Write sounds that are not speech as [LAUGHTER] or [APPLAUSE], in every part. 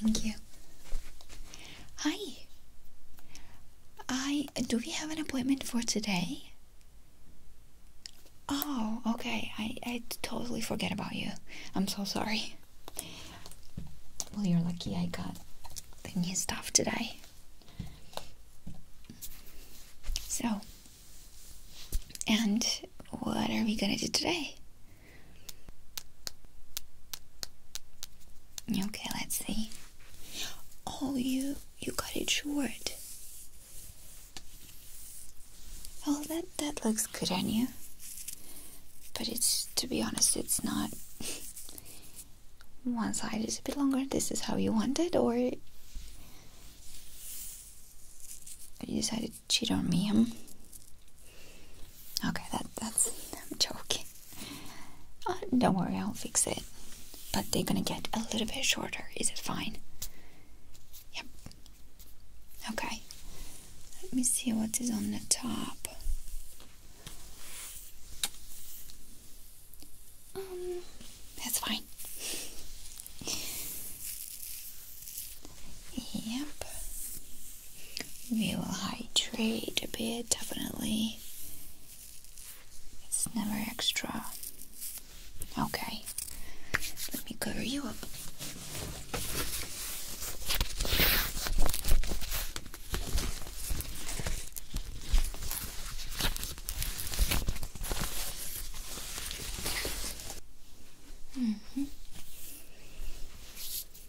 Thank you. Hi. I do we have an appointment for today? Oh, okay. I I totally forget about you. I'm so sorry. Well, you're lucky I got the new stuff today. So, and what are we gonna do today? Okay, let's see. Oh, you you cut it short. Oh, that that looks good on you. But it's to be honest, it's not. [LAUGHS] One side is a bit longer. This is how you want it, or you decided cheat on me, Okay, that that's I'm joking. Uh, don't worry, I'll fix it. But they're gonna get a little bit shorter. Is it fine? Yep. Okay. Let me see what is on the top. Um, that's fine. Yep. We will hydrate a bit, definitely. It's never extra. Okay. Let me cover you up. -hmm.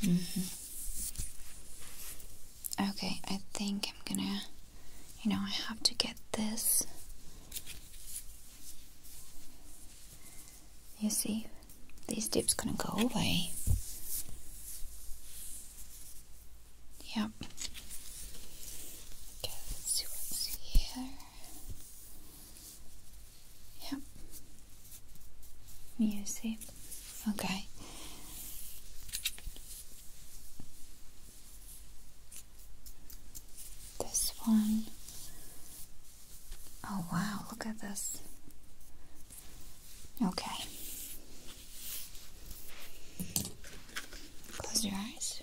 Mm-hmm. Okay, I think I'm gonna, you know, I have to get this you see, these dips gonna go away. Yep. Okay, let's see what's here. Yep. You see? Okay. This one. Oh, wow, look at this. Okay. Close your eyes.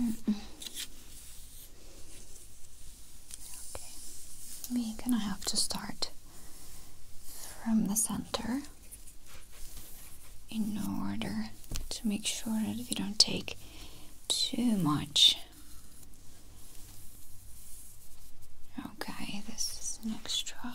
Okay, we're gonna have to start from the center in order to make sure that we don't take too much. Okay, this is an extra.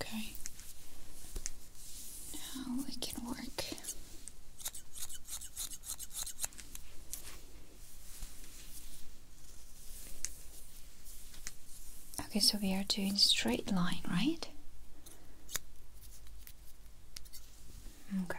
Okay. Now we can work. Okay, so we are doing straight line, right? Okay.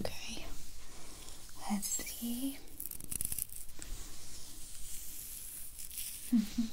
Okay, let's see. -hmm. [LAUGHS]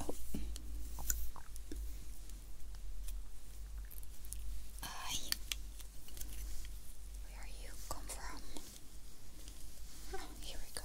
Oh. Where you come from? Oh, here we go.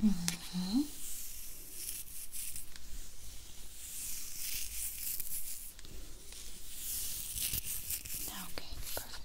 Mm -hmm. Okay, perfect.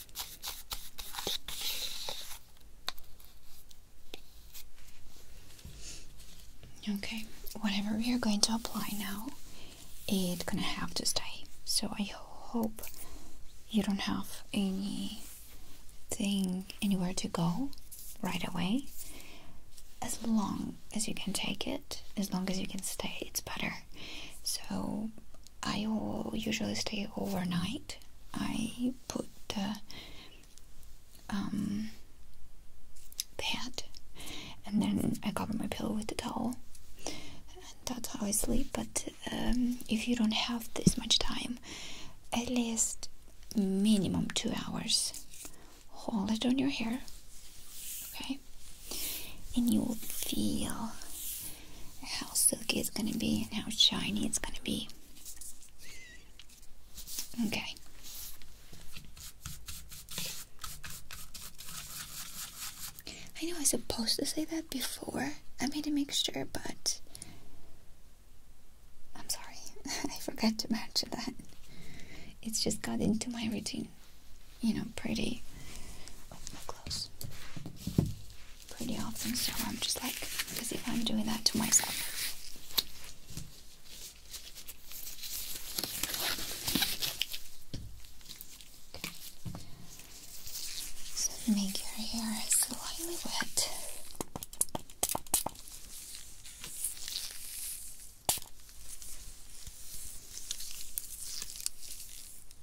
Okay, whatever we are going to apply now, it's gonna have to stay. So I hope you don't have anything anywhere to go right away. As long as you can take it, as long as you can stay, it's better. So I will usually stay overnight. I put the um, pad and then I cover my pillow with the towel. that's how I sleep. But um, if you don't have this much time, at least minimum two hours, hold it on your hair, okay? And you will feel how silky it's gonna be and how shiny it's gonna be. Okay. I know I was supposed to say that before I made a mixture, but I'm sorry, [LAUGHS] I forgot to mention that. It's just got into my routine, you know, pretty. close pretty awesome. so I'm just like, because if I'm doing that to myself. So make your hair slightly wet.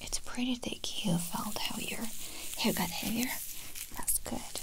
It's pretty thick. You felt how your hair got heavier that's good. Okay.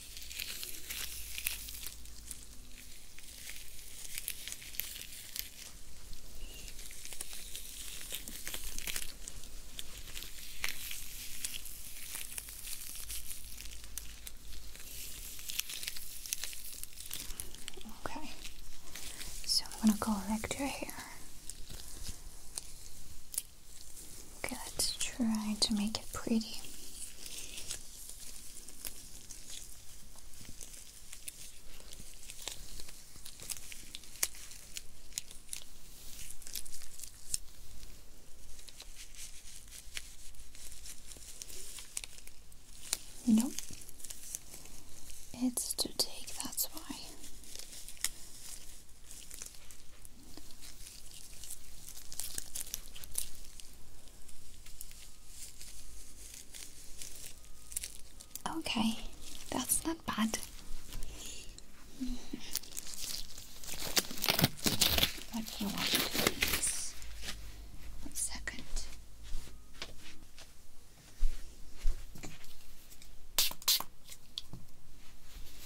Okay, so I'm gonna collect your hair. Okay, let's try to make it pretty. Nope. It's to take, that's why. Okay, that's not bad. What do you want One second.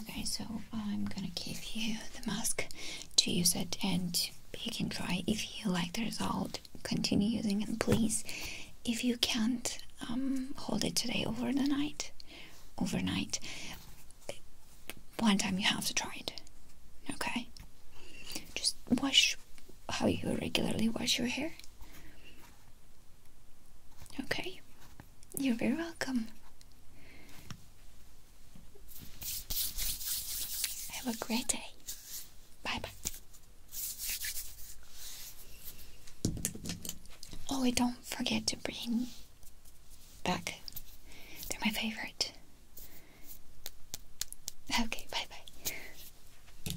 Okay, so I'm gonna give you the mask to use it and you can try if you like the result continue using it please if you can't um, hold it today over the night overnight one time you have to try it okay just wash how you regularly wash your hair Okay, you're very welcome. Have a great day. Bye bye. Oh, and don't forget to bring back. They're my favorite. Okay, bye bye.